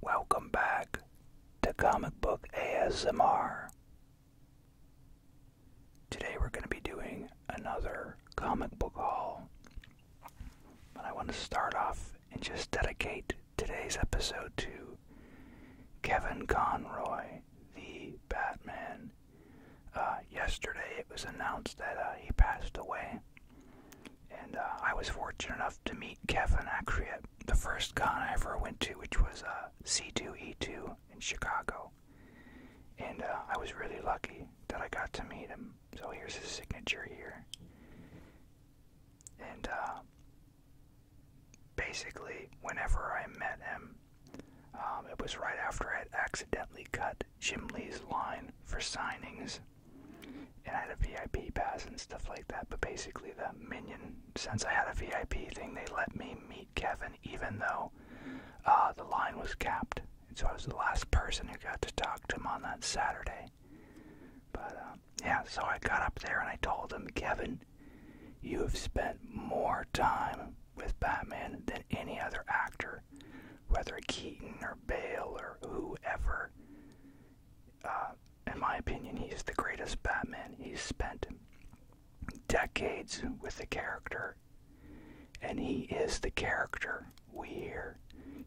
Welcome back to Comic Book ASMR. Today we're going to be doing another comic book haul. But I want to start off and just dedicate today's episode to Kevin Conroy, the Batman. Uh, yesterday it was announced that uh, he passed away. And uh, I was fortunate enough to meet Kevin actually at the first con I ever went to, which was uh, C2E2 in Chicago, and uh, I was really lucky that I got to meet him. So here's his signature here, and uh, basically, whenever I met him, um, it was right after I had accidentally cut Jim Lee's line for signings and I had a VIP pass and stuff like that. But basically, the minion, since I had a VIP thing, they let me meet Kevin, even though uh, the line was capped. And so I was the last person who got to talk to him on that Saturday. But uh, yeah, so I got up there and I told him, Kevin, you have spent more time with Batman than any other actor, whether Keaton or Bale or whoever. Uh, in my opinion, he's the greatest Batman. He's spent decades with the character, and he is the character we hear.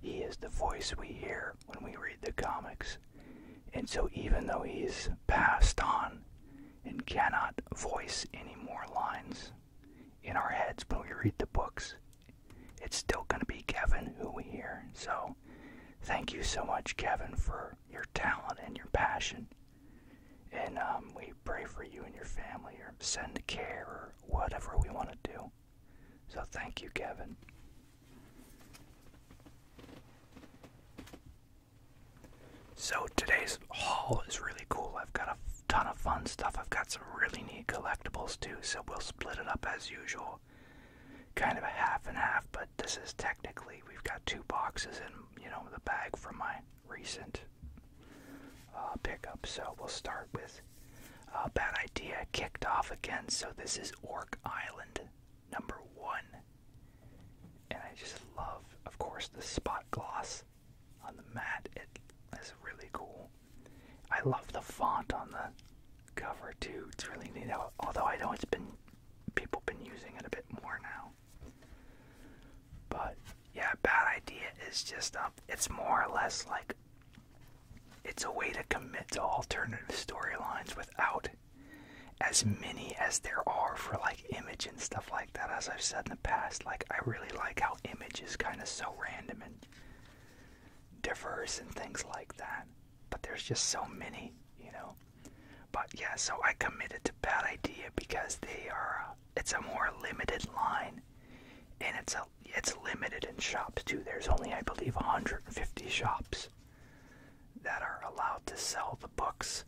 He is the voice we hear when we read the comics. And so, even though he's passed on and cannot voice any more lines in our heads when we read the books, it's still going to be Kevin who we hear. So, thank you so much, Kevin, for your talent and your passion. And um, we pray for you and your family, or send care, or whatever we want to do. So thank you, Kevin. So today's haul is really cool. I've got a ton of fun stuff. I've got some really neat collectibles too, so we'll split it up as usual kind of a half and half, but this is technically we've got two boxes in you know the bag from my recent uh, pickup. So we'll start with a uh, bad idea kicked off again. So this is Orc Island number one, and I just love, of course, the spot gloss on the mat. It is really cool. I love the font on the cover too. It's really neat. Although I know it's been people been using it a bit more now. But yeah, bad idea is just um, it's more or less like it's a way to commit to alternative storylines without as many as there are for like image and stuff like that. As I've said in the past, like I really like how image is kind of so random and diverse and things like that but there's just so many, you know. But yeah, so I committed to Bad Idea because they are uh, it's a more limited line and it's a it's limited in shops too. There's only I believe 150 shops that are allowed to sell the books.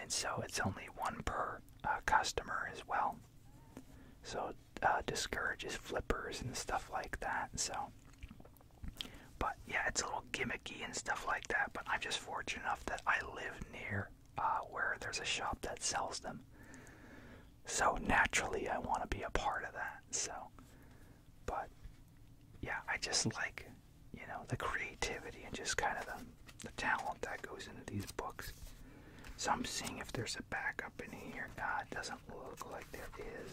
And so it's only one per uh, customer as well. So uh, discourages flippers and stuff like that. So but yeah, it's a little gimmicky and stuff like that. But I'm just fortunate enough that I live near uh, where there's a shop that sells them. So naturally, I want to be a part of that. So, but yeah, I just like, you know, the creativity and just kind of the, the talent that goes into these books. So I'm seeing if there's a backup in here. Nah, it doesn't look like there is.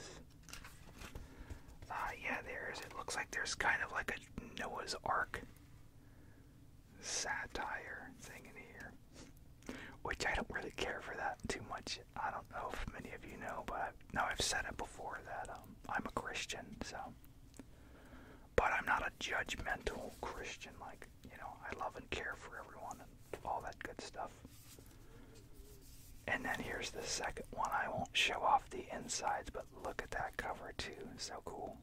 Uh, yeah, there's. It looks like there's kind of like a Noah's Ark satire thing in here, which I don't really care for that too much. I don't know if many of you know, but I've, I've said it before that um, I'm a Christian, so. But I'm not a judgmental Christian. Like you know, I love and care for everyone and all that good stuff. And then here's the second one. I won't show off the insides, but look at that cover too. So cool.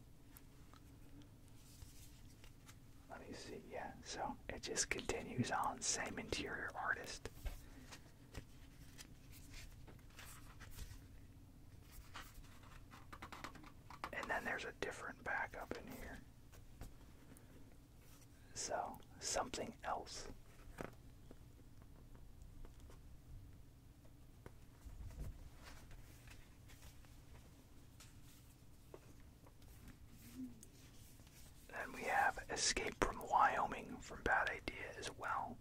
Let me see. Yeah, so it just continues on. Same interior artist. And then there's a different back up in here. So, something else. Then we have Escape from Wyoming from Bad Idea as well.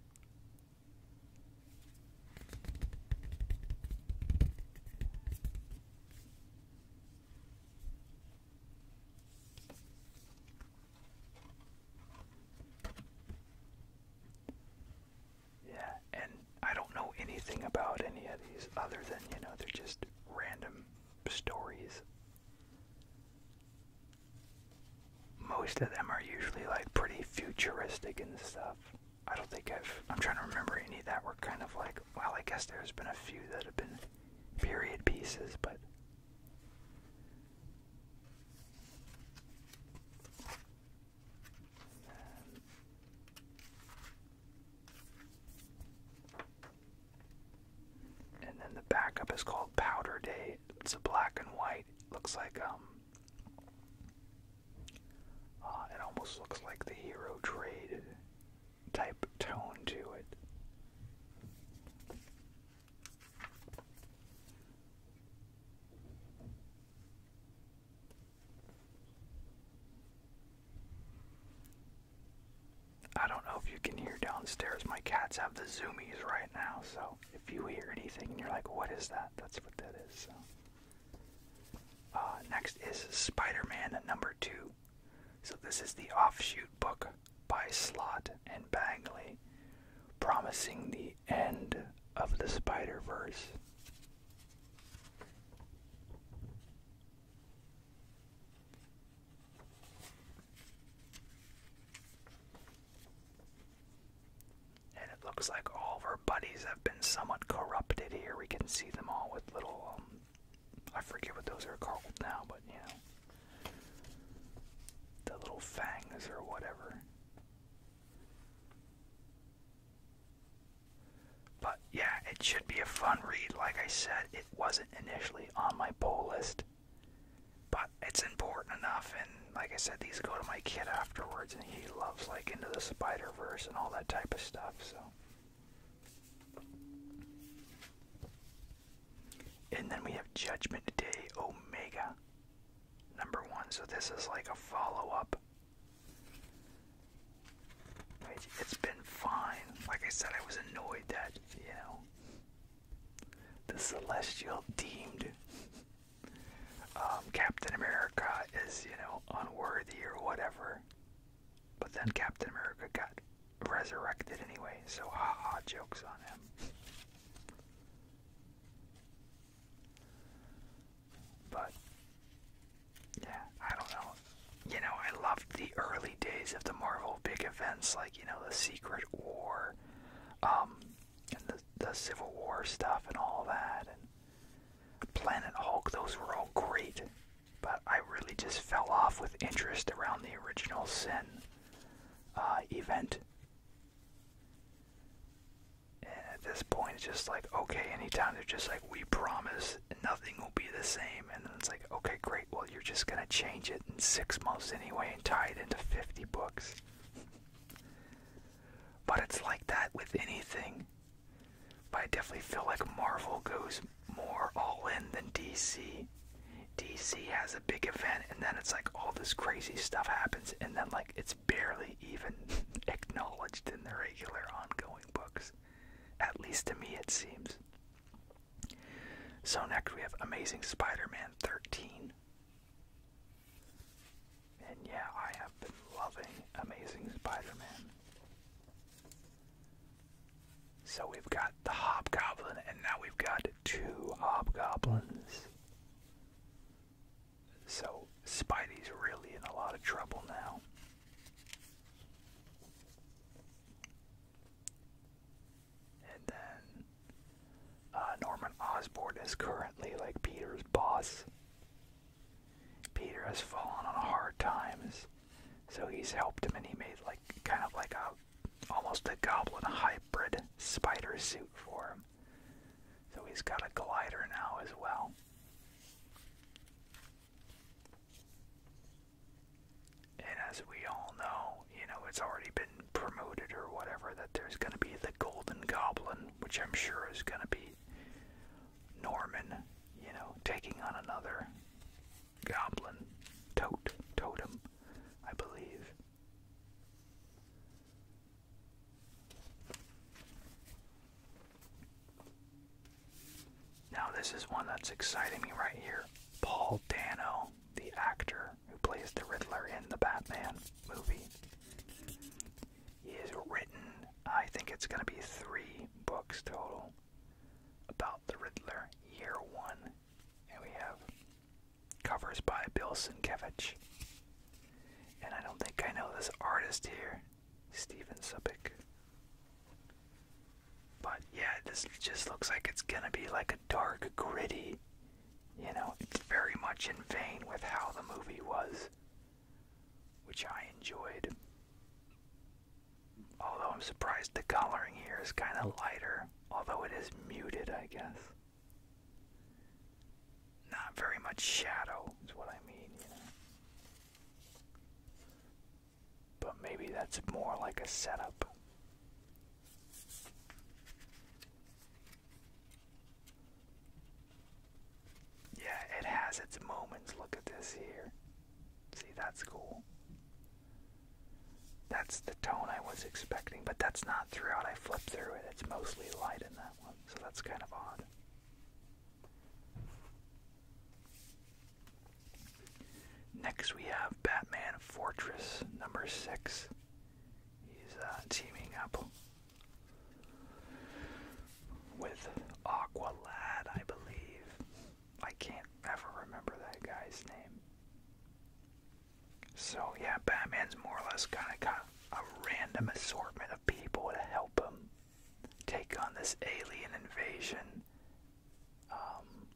Yeah, and I don't know anything about any of these other than, you know, they're just random stories. Most of them are usually like pretty futuristic and stuff. I don't think I've. I'm trying to remember any that were kind of like. Well, I guess there's been a few that have been period pieces, but and then the backup is called Powder Day. It's a black and white. looks like um uh, it almost looks like the Hero Trade type tone to it. I don't know if you can hear downstairs. My cats have the zoomies right now, so if you hear anything and you're like, what is that? That's what that is. So. Uh, next is Spider Man number two. So, this is the offshoot book by Slot and Bangley, promising the end of the Spider Verse. And it looks like all of our buddies have been somewhat corrupted here. We can see them all with little, um, I forget what those are called now, but you know. The little fangs or whatever. But yeah, it should be a fun read. Like I said, it wasn't initially on my poll list. But it's important enough, and like I said, these go to my kid afterwards, and he loves like Into the Spider Verse and all that type of stuff, so. And then we have Judgment Day Omega, number one. So this is like a follow up. It's been fine. Like I said, I was annoyed that, you know, the Celestial deemed um, Captain America is, you know, unworthy or whatever. But then Captain America got resurrected anyway, so haha, jokes on him. But yeah, I don't know. You know, I loved the early days of the Marvel big events, like you know the Secret War, um, and the the Civil War stuff and all that, and Planet Hulk. Those were all great, but I really just fell off with interest around the original Sin uh, event and at this point, it's just like, okay, anytime they're just like, we promise nothing will be the same. And it's like, okay, great, well, you're just going to change it in six months anyway and tie it into 50 books. but it's like that with anything. But I definitely feel like Marvel goes more all in than DC. DC has a big event, and then it's like all this crazy stuff happens, and then like it's barely even acknowledged in the regular ongoing books. At least to me, it seems. So, next we have Amazing Spider Man 13. And yeah, I have been loving Amazing Spider Man. So, we've got the hobgoblin, and now we've got two hobgoblins. So Spidey's really in a lot of trouble now. And then uh, Norman Osborn is currently like Peter's boss. Peter has fallen on hard times, so he's helped him and he made like kind of like a almost a goblin hybrid spider suit for him. So he's got a glider now as well. And as we all know, you know, it's already been promoted or whatever that there's going to be the Golden Goblin, which I'm sure is going to be Norman, you know, taking on another goblin totem, I believe. Now, this is one that's exciting me right here. Paul Dano, the actor who plays the Riddler in the Batman movie. is written, I think it's going to be three books total about the Riddler, year one. And we have Covers by Bill Sienkiewicz. And I don't think I know this artist here, Steven Subic. But yeah, this just looks like it's gonna be like a dark, gritty. You know, very much in vein with how the movie was, which I enjoyed. Although I'm surprised the coloring here is kind of lighter, although it is muted, I guess. Not very much shadow is what I mean, you know. But maybe that's more like a setup. Yeah, it has its moments. Look at this here. See, that's cool. That's the tone I was expecting, but that's not throughout. I flip through it. It's mostly light in that one, so that's kind of odd. Next, we have Batman Fortress number six. He's uh, teaming up with Aqualad, I believe. I can't ever remember that guy's name. So yeah, Batman's more or less kind of got a random assortment of people to help him take on this alien invasion um,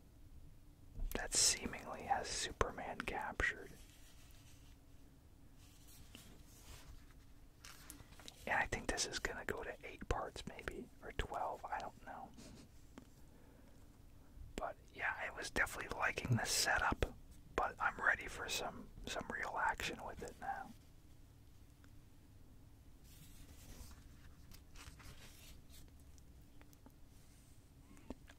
that seemingly has Superman captured. And I think this is going to go to 8 parts, maybe, or 12, I don't know. But yeah, I was definitely liking the setup, but I'm ready for some some real action with it now.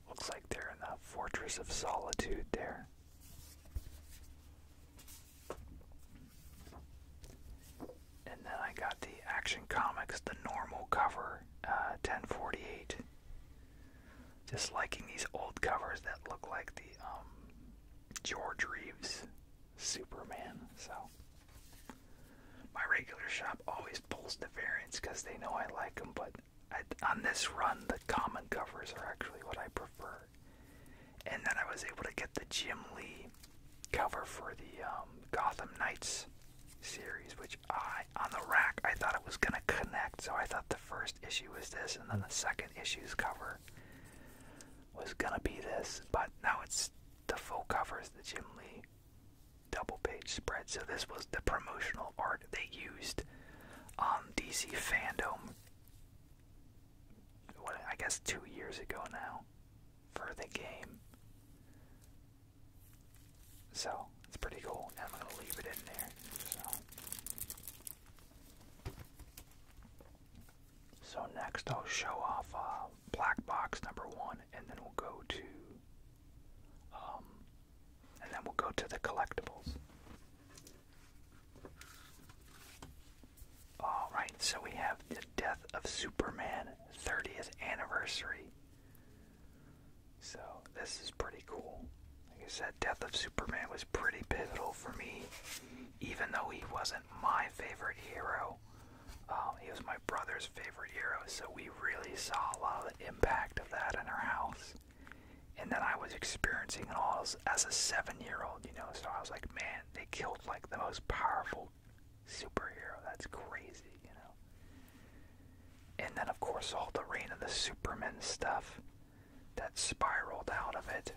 Looks like they're in the Fortress of Solitude there. And then I got the Action Comics, the normal cover, 1048. Uh, just liking these old covers that look like the um, George Reeves Superman. So my regular shop always pulls the variants because they know I like them, but on this run, the common covers are actually what I prefer. And then I was able to get the Jim Lee cover for the um, Gotham Knights series, which I, on the rack, I thought it was going to connect. So I thought the first issue was this, and then the second issue's cover was going to be this. But now it's the full covers, is the Jim Lee double page spread. So this was the promotional art they used on DC Fandom. I guess two years ago now for the game. So it's pretty cool. And I'm gonna leave it in there. So, next I'll show off uh, black box number one, and then we'll go to, um, and then we'll go to the collectibles. All right, so we have the death of Superman 30th anniversary. So this is pretty cool. Like I said, Death of Superman was pretty pivotal for me, even though he wasn't my favorite hero. Um, he was my brother's favorite hero, so we really saw a lot of the impact of that in our house. And then I was experiencing it all as a seven-year-old, you know. So I was like, man, they killed like the most powerful superhero. That's crazy, you know. And then, of course, all the rain of the Superman stuff that spiraled out of it.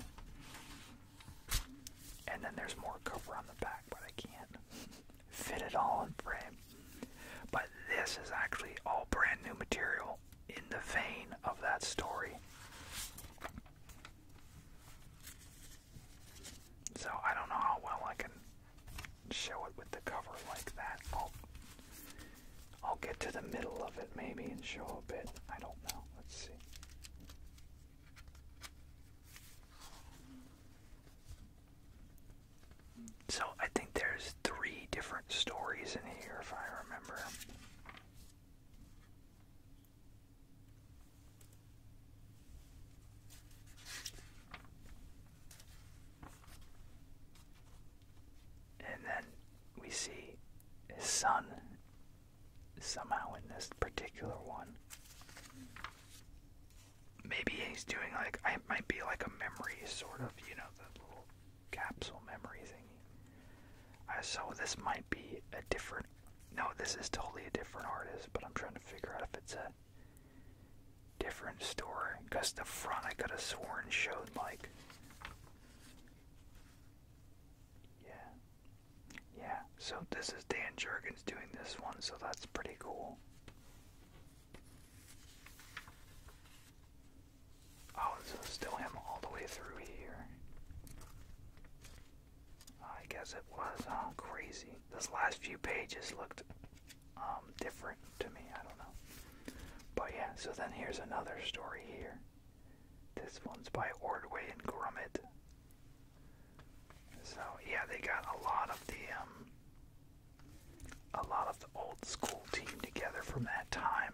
And then there's more cover on the back, but I can't fit it all in frame. But this is actually all brand new material in the vein of that story. So I don't know how well I can show it with the cover like that. I'll get to the middle of it maybe and show a bit. I don't know. Let's see. So I think there's three different stories in here if I remember. And then we see his son somehow in this particular one. Maybe he's doing like, I might be like a memory sort of, you know, the little capsule memory thing. Uh, so this might be a different, no, this is totally a different artist, but I'm trying to figure out if it's a different store because the front I could have sworn showed like yeah yeah so this is Dan Jurgens doing this one so that's pretty cool oh so it's still him all the way through here I guess it was huh crazy this last few pages looked um, different to me. I don't know. But yeah, so then here's another story here. This one's by Ordway and Grummet. So yeah, they got a lot of the um, a lot of the old school team together from that time.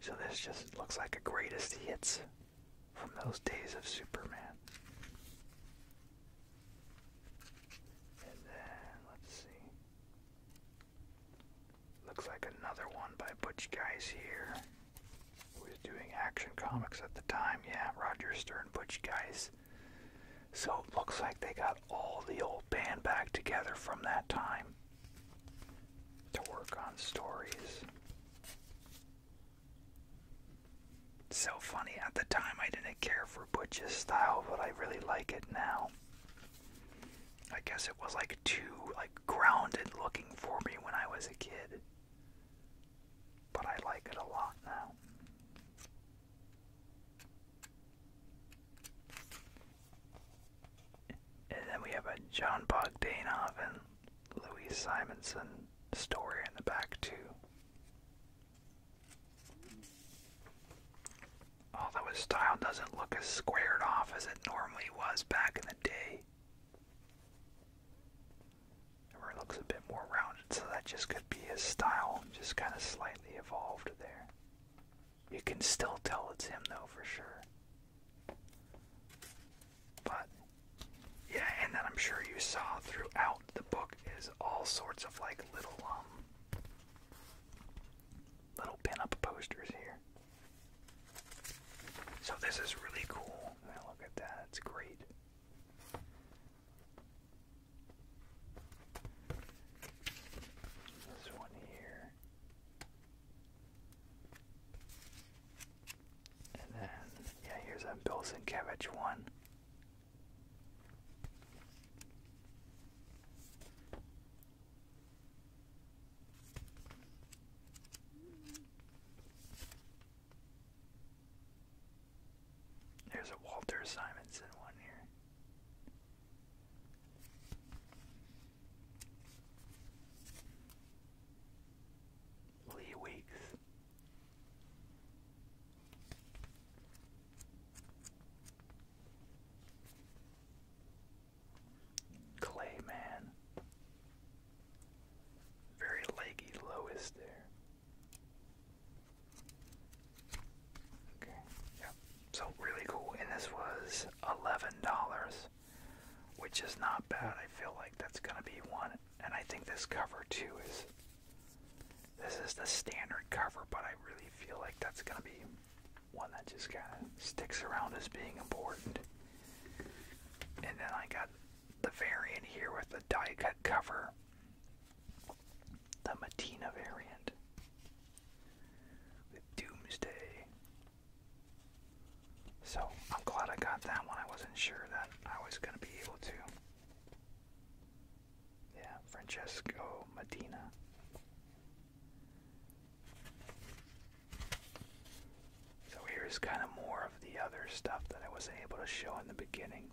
So this just looks like a greatest hits from those days of Superman. And then, let's see. Looks like another one by Butch Guys here. Who was doing action comics at the time. Yeah, Roger Stern, Butch Guys. So it looks like they got all the old band back together from that time to work on stories. So funny. At the time, I didn't care for Butch's style, but I really like it now. I guess it was like too like grounded looking for me when I was a kid. But I like it a lot now. And then we have a John Bogdanov and Louise Simonson story in the back too. Although oh, his style doesn't look as squared off as it normally was back in the day. Where it looks a bit more rounded, so that just could be his style, just kind of slightly evolved there. You can still tell it's him though for sure. But yeah, and then I'm sure you saw throughout the book is all sorts of like little um Little pin posters here. So this is really cool. Man, look at that. It's great. This one here. And then, yeah, here's a Bill Sienkiewicz one. There's a Walter Simonson one here. Lee Weeks, Clayman. Very leggy Lois there. Okay, yeah. So really cool. And this was eleven dollars, which is not bad. I feel like that's gonna be one. And I think this cover too is this is the standard cover, but I really feel like that's going to be one that just kind of sticks around as being important. And then I got the variant here with the die cut cover, the Matina variant with Doomsday. So I'm glad I got that one. I wasn't sure that I was going to be able to yeah, Francesco Medina. So here's kind of more of the other stuff that I wasn't able to show in the beginning.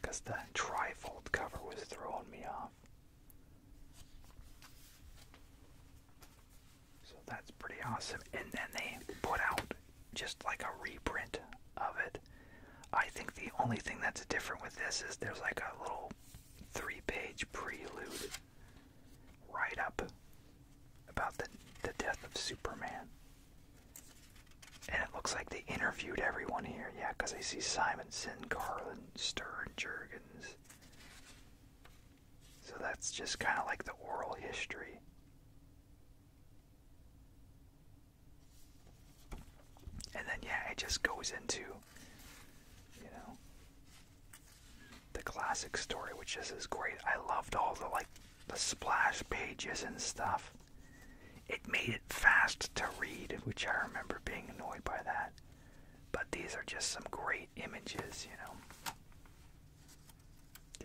Because the trifold cover was throwing me off. So that's pretty awesome. And then they put out just like a reprint of it I think the only thing that's different with this is there's like a little three page prelude write up about the, the death of Superman. And it looks like they interviewed everyone here, yeah, because I see Simonson, Carlin, Stern, Jurgens. So that's just kind of like the oral history. And then, yeah, it just goes into, you know, the classic story, which just is great. I loved all the, like, the splash pages and stuff. It made it fast to read, which I remember being annoyed by that. But these are just some great images, you know.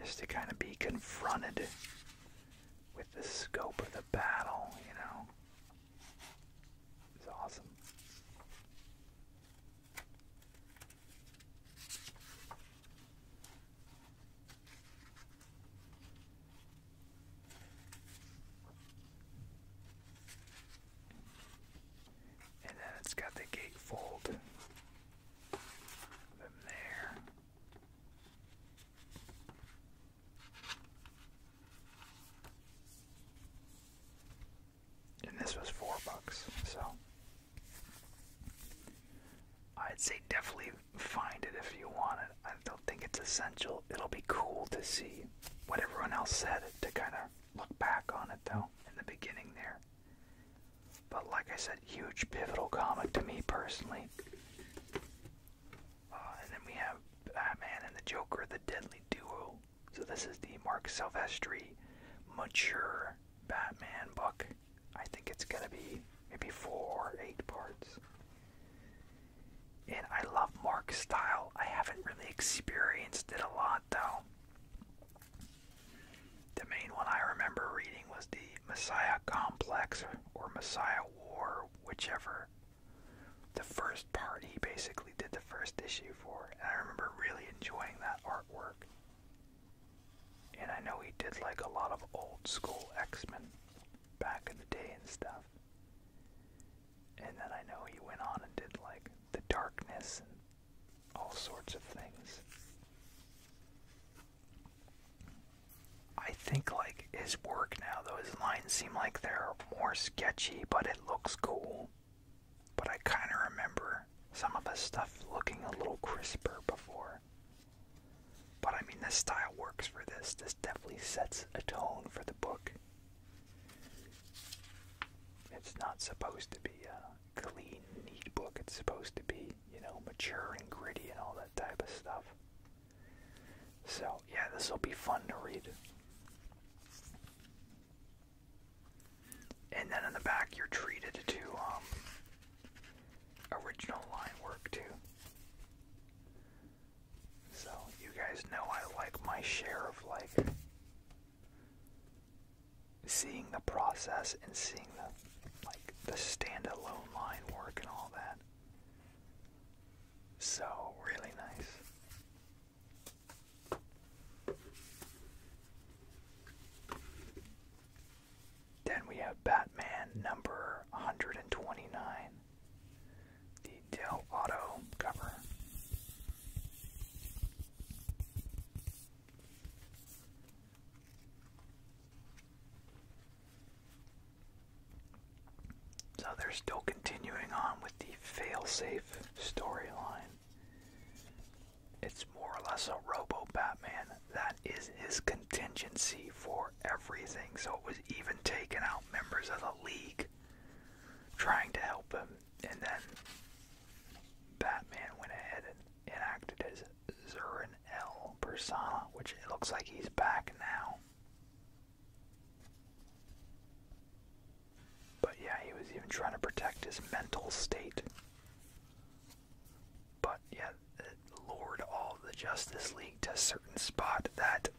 Just to kind of be confronted with the scope of the battle, you know. It's awesome. And then it's got the gatefold them there. And this was four bucks, so I'd say definitely find it if you want it. I don't think it's essential. It'll be cool to see what everyone else said to kind of look back on it though in the beginning there. But like I said, huge pivotal comic to me personally. Uh, and then we have Batman and the Joker, the deadly duo. So this is the Mark Silvestri mature Batman book. I think it's gonna be maybe four or eight parts. And I love Mark's style. I haven't really experienced it a lot though. The main one I remember reading was the Messiah Complex or Messiah War, whichever the first part he basically did the first issue for, and I remember really enjoying that artwork. And I know he did like a lot of old school X-Men back in the day and stuff. And then I know he went on and did like the darkness and all sorts of things. I think like his work now though his lines seem like they're more sketchy but it looks cool. But I kind of remember some of his stuff looking a little crisper before. But I mean this style works for this. This definitely sets a tone for the book. It's not supposed to be a clean neat book. It's supposed to be, you know, mature and gritty and all that type of stuff. So, yeah, this will be fun to read. And then in the back, you're treated to um, original line work, too. So, you guys know I like my share of, like, seeing the process and seeing the, like, the standalone line work and all that. So, really nice. Then we have Batman number 129, the Dell Auto cover. So they're still continuing on with the failsafe storyline. It's more or less a Robo Batman. That is his contingency for everything. So it was even taking out members of the League trying to help him. And then Batman went ahead and enacted his Zurin L persona, which it looks like he's back now. But yeah, he was even trying to protect his mental state. But yeah, it lured all the Justice League to a certain spot that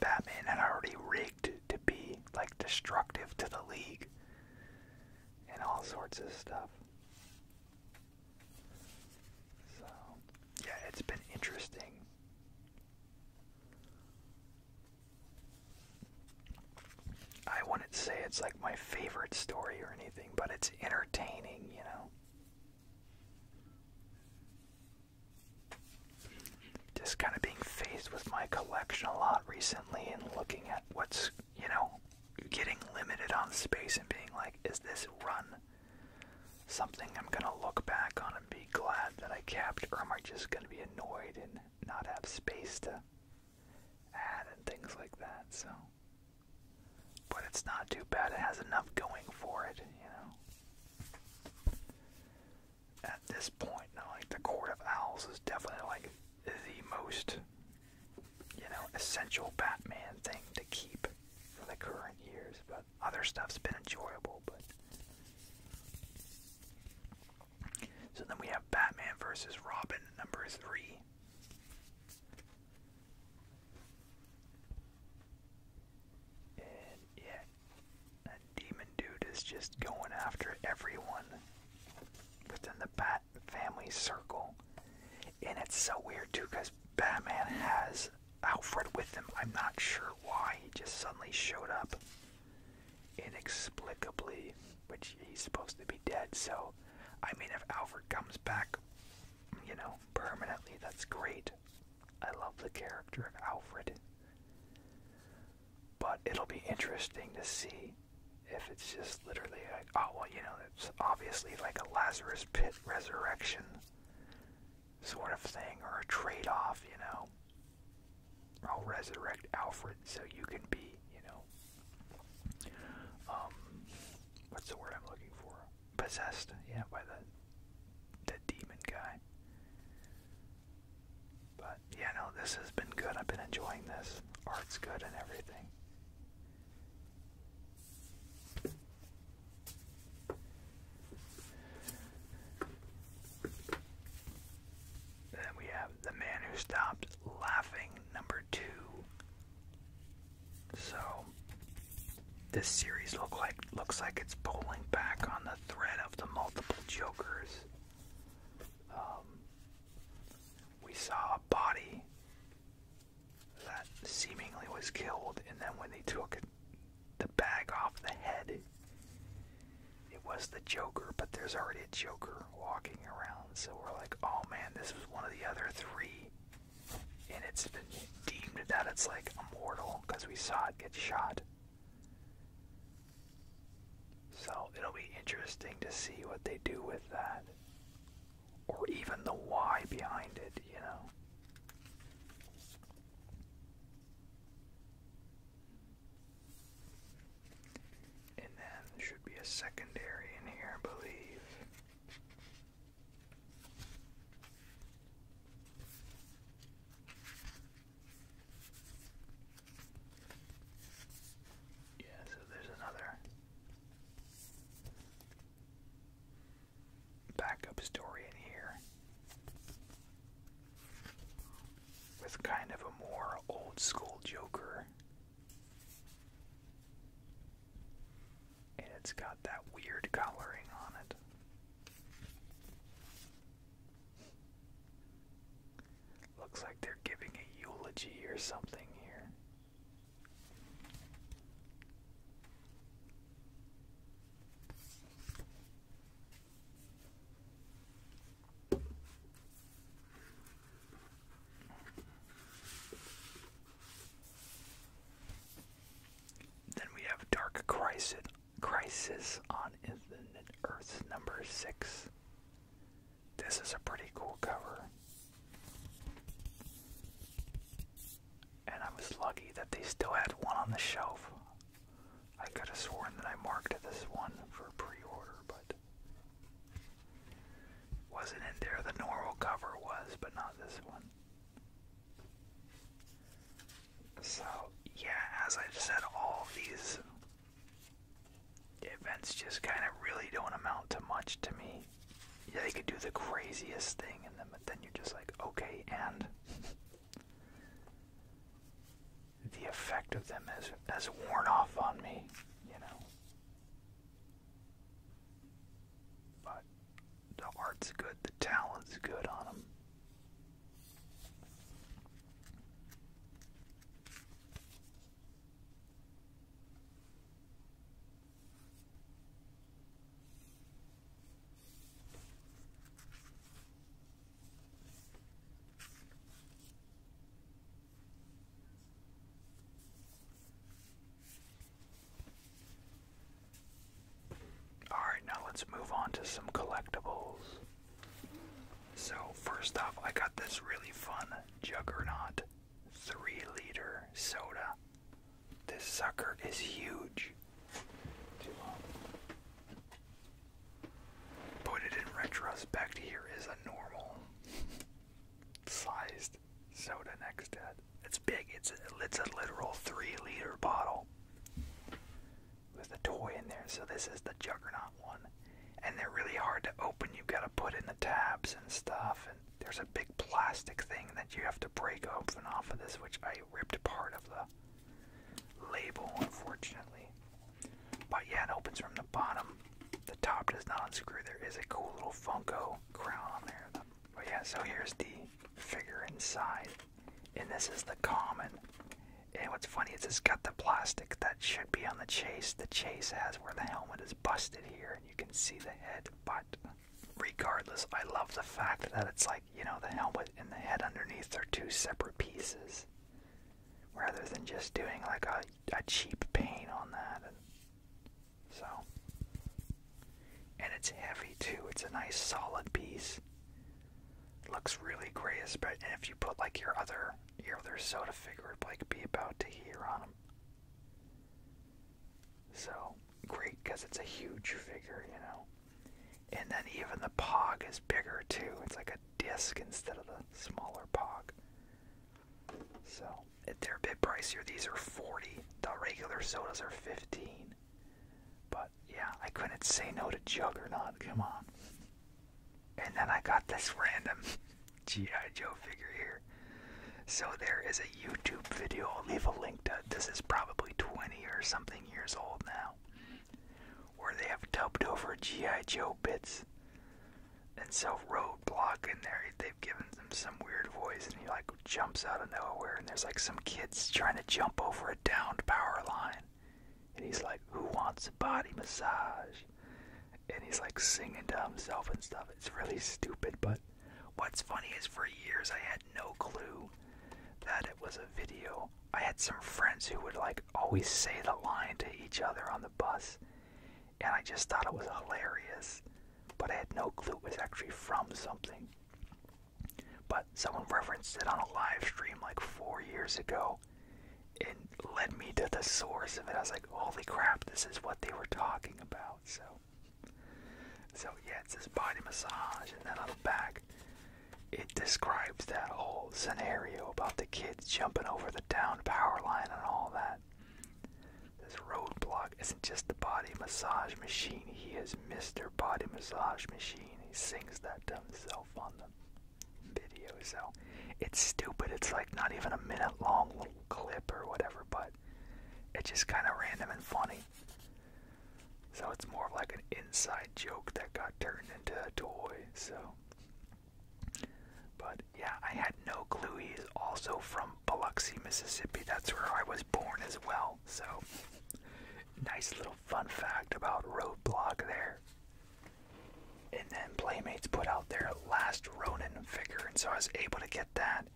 Batman had already rigged to be like destructive to the league and all sorts of stuff. So, yeah, it's been interesting I wouldn't say it's like my favorite story or anything, but it's entertaining, you know. Just kind of being faced with my collection a lot recently and looking at what's, you know, getting limited on space and being like, is this run something I'm gonna look back on and be glad that I kept, or am I just gonna be annoyed and not have space to add and things like that? So, but it's not too bad. It has enough going for it, you know. At this point, like the Court of Owls is definitely like the most, you know, essential Batman thing to keep for the current years, but other stuff's been enjoyable. But so then we have Batman versus Robin, number three. And yeah, that demon dude is just going after everyone within the Bat family circle. And it's so weird too because Batman has Alfred with him. I'm not sure why he just suddenly showed up inexplicably, which he's supposed to be dead. So, I mean, if Alfred comes back, you know, permanently, that's great. I love the character of Alfred. But it'll be interesting to see if it's just literally like, oh, well, you know, it's obviously like a Lazarus pit resurrection sort of thing, or a trade off, you know. I'll resurrect Alfred so you can be, you know, um, what's the word I'm looking for? Possessed, yeah, by the the demon guy. But yeah, no, this has been good. I've been enjoying this. Art's good and everything. Then we have The Man Who Stopped Laughing, number two. So this series look like looks like it's pulling back on the thread of the multiple jokers. Um, we saw a body that seemingly was killed, and then when they took it the bag off the head. It was the Joker, but there's already a Joker walking around, so we're like, oh man, this was one of the other three. And it's been deemed that it's like immortal because we saw it get shot. So it'll be interesting to see what they do with that. Or even the why behind it, you know. And then should be a secondary in here, I believe. Yeah, so there's another. Back-up story in here with kind of a more old school Joker. And it's got that weird coloring on it. Looks like they're giving a eulogy or something here. Then we have Dark Crisis, on Infinite Earths number 6. This is a pretty cool cover and I was lucky that they still had one on the shelf. I could have sworn that I marked this one for pre order, but wasn't in there. The normal cover was, but not this one. So, yeah, as I said, all these events just kind of really don't amount to much to me. Yeah, they could do the craziest thing, and then, but then you're just like, okay, and. the effect of them has, has worn off on me, you know. But the art's good, the talent's good on them. Alright, now let's move on to some collectibles. So, first off, I got this really fun Juggernaut 3 liter soda this sucker is huge. Put it in retrospect, here is a normal sized soda next to it. It's big, it's it's a literal three liter bottle with a toy in there. So, this is the Juggernaut one. And they're really hard to open. You've got to put in the tabs and stuff. And there's a big plastic thing that you have to break open off of this, which I ripped part of the label, unfortunately. But yeah, it opens from the bottom. The top does not unscrew. There is a cool little Funko crown there. But yeah, so here's the figure inside. And this is the common. And what's funny is it's got the plastic that should be on the chase. The chase has where the helmet is busted here, and you can see the head. But regardless, I love the fact that it's like like, you know, the helmet and the head underneath are two separate pieces. Rather than just doing like a, a cheap paint on that. And so. And it's heavy too. It's a nice solid piece. It looks really great, but and if you put like your other your other soda figure, it'd like be about to here on them. So great because it's a huge figure, you know. And then even the pog is bigger too. It's like a disc instead of the smaller pog. So they're a bit pricier. These are 40. The regular sodas are 15. But yeah, I couldn't say no to Juggernaut. Come on. And then I got this random G.I. Joe figure here. So there is a YouTube video. I'll leave a link to This is probably 20 or something years old now where they have dubbed over G.I. Joe bits and self roadblock in there. They've given them some weird voice, and he like jumps out of nowhere, and there's like some kids trying to jump over a downed power line, and he's like, "Who wants a body massage?" And he's like singing to himself and stuff. It's really stupid, but what's funny is for years I had no clue that it was a video I had some friends who would like always say the line to each other on the bus, and I just thought it was hilarious, but I had no clue it was actually from something. But someone referenced it on a live stream like four years ago and led me to the source of it. I was like, holy crap, this is what they were talking about. So, so yeah, it's this body massage, and then on the back, it describes that whole scenario about the kids jumping over the down power line and all that. This roadblock isn't just the body massage machine, he is Mr. Body Massage Machine. He sings that to himself on the video, so it's stupid. It's like not even a minute long little clip or whatever, but it's just kind of random and funny. So it's more like an inside joke that got turned into a toy. So, but yeah, I had no clue he's also from Biloxi, Mississippi. That's where I was born as well. So, nice little fun fact about Roadblock there. And then Playmates put out their last Ronin figure, and so I was able to get that.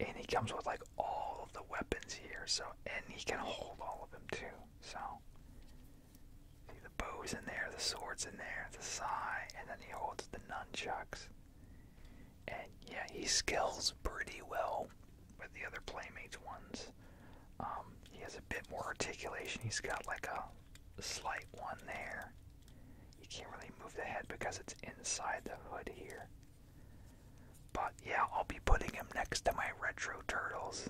And he comes with like all of the weapons here, so and he can hold all of them too. So, see the bow's in there, the sword's in there, the sai, and then he holds the nunchucks. And yeah, he scales pretty well with the other Playmates ones. Um, he has a bit more articulation. He's got like a slight one there. You can't really move the head because it's inside the hood here. But yeah, I'll be putting him next to my retro turtles.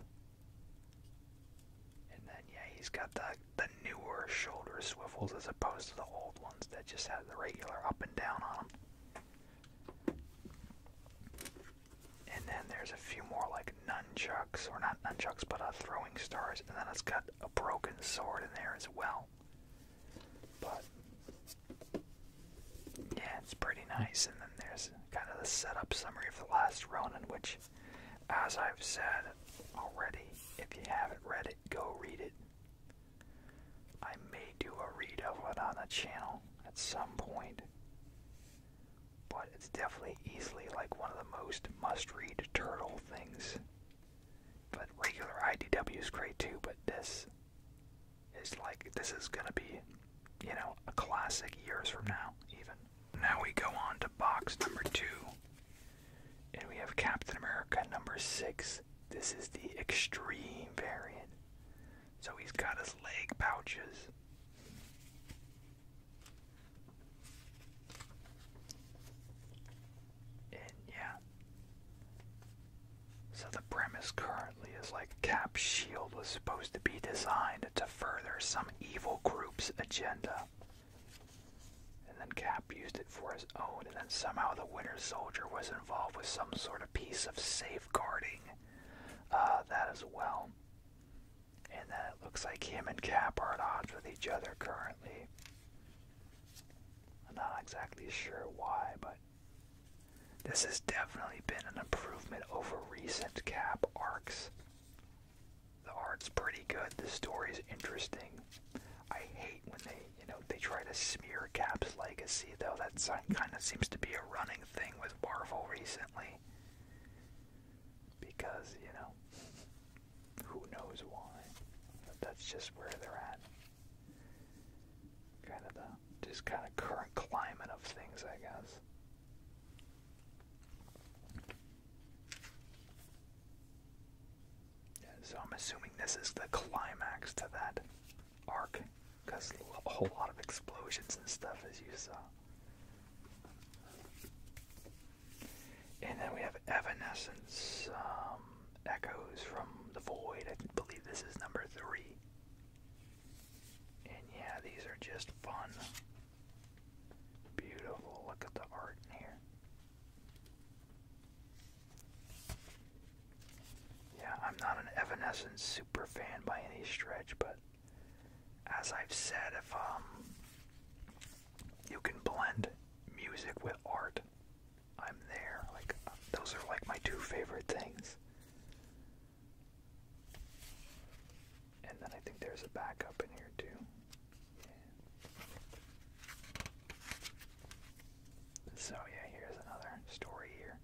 And then yeah, he's got the the newer shoulder swivels as opposed to the old ones that just had the regular up and down on them. And then there's a few more like nunchucks, or not nunchucks, but uh, throwing stars. And then it's got a broken sword in there as well. But yeah, it's pretty nice. And then there's kind of the setup summary of The Last run, in which, as I've said already, if you haven't read it, go read it. I may do a read of it on the channel at some point, but it's definitely easily like one of the most must read turtle things. But regular IDW is great too, but this it's like this is gonna be, you know, a classic years from now even. Now we go on to box number two. And we have Captain America number six. This is the extreme variant. So he's got his leg pouches. And yeah. So the premise currently apparently is like Cap's Shield was supposed to be designed to further some evil group's agenda. And then Cap used it for his own, and then somehow the Winter Soldier was involved with some sort of piece of safeguarding uh, that as well. And then it looks like him and Cap are at odds with each other currently. I'm not exactly sure why, but this has definitely been an improvement over recent cap arcs. The art's pretty good. The story's interesting. I hate when they, you know, they try to smear Cap's legacy, though. That kind of seems to be a running thing with Marvel recently. Because, you know, who knows why. But that's just where they're at. Kind of the just kind of current climate of things, I guess. so I'm assuming this is the climax to that arc, because a whole lot of explosions and stuff, as you saw. And then we have Evanescence, um, Echoes from the Void. I believe this is number three. And yeah, these are just fun. Beautiful. Look at the art in here. Yeah, I'm not an Evanescence super fan by any stretch, but as I've said, if um you can blend music with art, I'm there. Like those are like my two favorite things. And then I think there's a backup in here too. So yeah, here's another story here.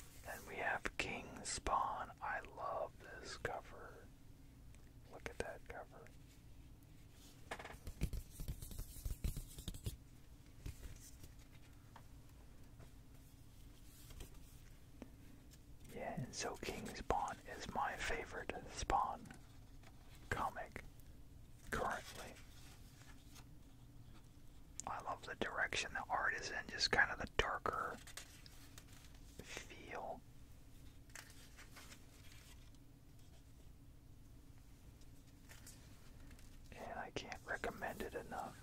Then we have King Spawn. I love this cover. Look at that cover. Yeah, and so King Spawn is my favorite Spawn comic currently. I love the direction the art is in, just kind of the darker feel. And I can't recommend it enough.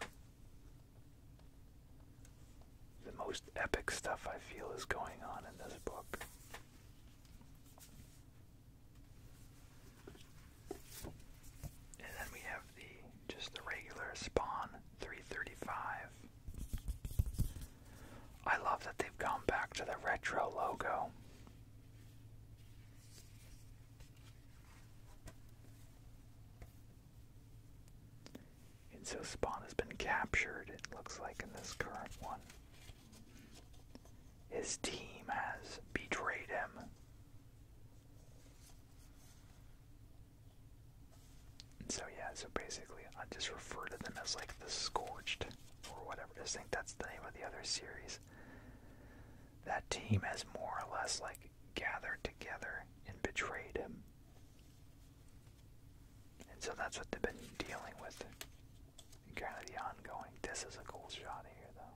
The most epic stuff I feel is going on in this book. And then we have the just the regular Spawn 335. I love that they've gone back to the retro logo. And so Spawn has been captured, it looks like, in this current one. His team has betrayed him so yeah, so basically I just refer to them as like the Scorched or whatever. I think that's the name of the other series. That team has more or less like gathered together and betrayed him. And so that's what they've been dealing with. Kind of the ongoing. This is a cool shot here though.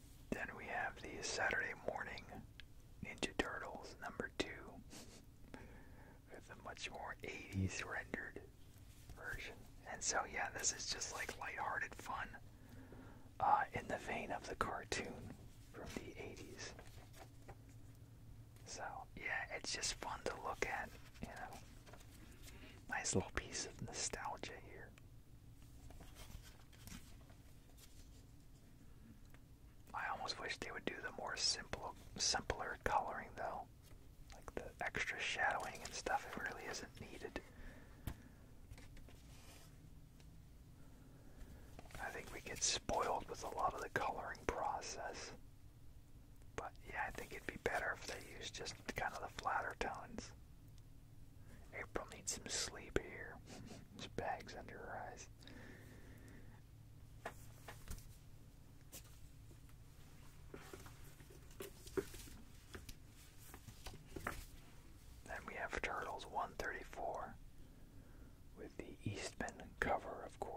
Then we have the Saturday Morning Ninja Turtles number two, with a much more 80s rendered version. And so, yeah, this is just like lighthearted fun uh, in the vein of the cartoon from the 80s. So, yeah, it's just fun to look at, you know. Nice little piece of nostalgia here. I almost wish they would do the more simple, simpler coloring though. Like the extra shadowing and stuff, it really isn't needed. I think we get spoiled with a lot of the coloring process. But yeah, I think it'd be better if they used just kind of the flatter tones. April needs some sleep here. There's bags under her eyes. Then we have Turtles 134 with the Eastman cover, of course.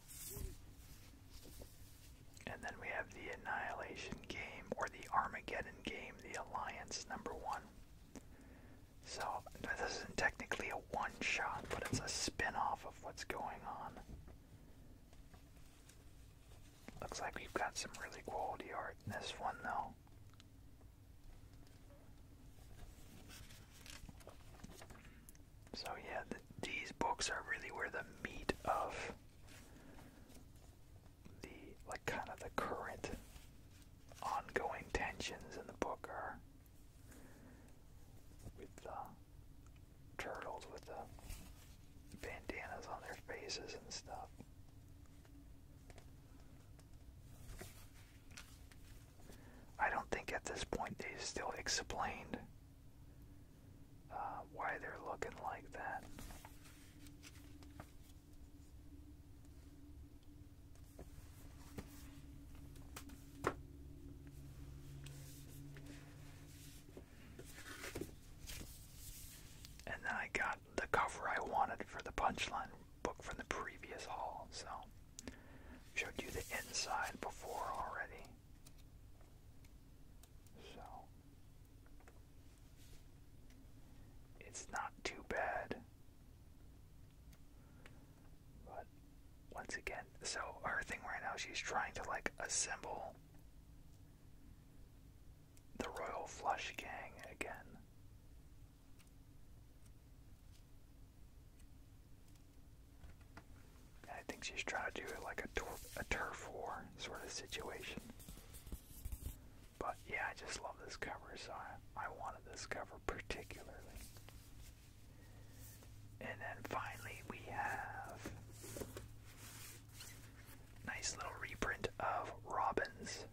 And then we have the Annihilation game, or the Armageddon game, the Alliance number one. So, this isn't technically a one shot, but it's a spin of what's going on. Looks like we've got some really quality art in this one, though. So, yeah, these books are really where the meat of the like kind of the current ongoing tensions in the book are with the turtles with the bandanas on their faces and stuff. I don't think at this point they still explained uh, why they're looking like that. And then I got the cover I wanted for the punchline book from the previous haul, so showed you the inside before already. So it's not too bad. But once again, so her thing right now, she's trying to like assemble the Royal Flush Gang again. I think she's trying to do it like a, turf war sort of situation. But yeah, I just love this cover, so I, I wanted this cover particularly. And then finally, we have nice little reprint of Robin's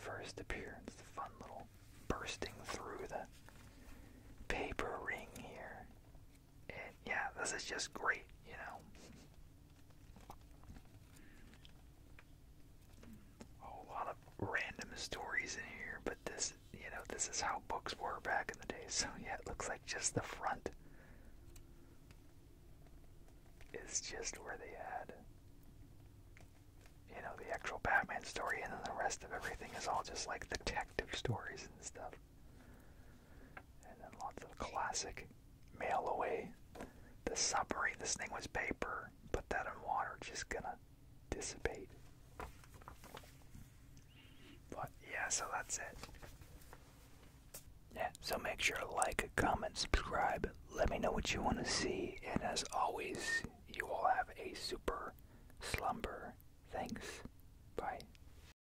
first appearance. fun little bursting through the paper ring here. And yeah, this is just great, you know. A whole lot of random stories in here, but this, you know, this is how books were back in the day. So yeah, it looks like just the front is just where they had, you know, the actual Batman story, and then the rest of everything is all just like detective stories and stuff. And then lots of classic mail away. The submarine, this thing was paper. Put that in water, just gonna dissipate. But yeah, so that's it. Yeah, so make sure like, comment, subscribe. Let me know what you want to see. And as always, you all have a super slumber. Thanks. Bye.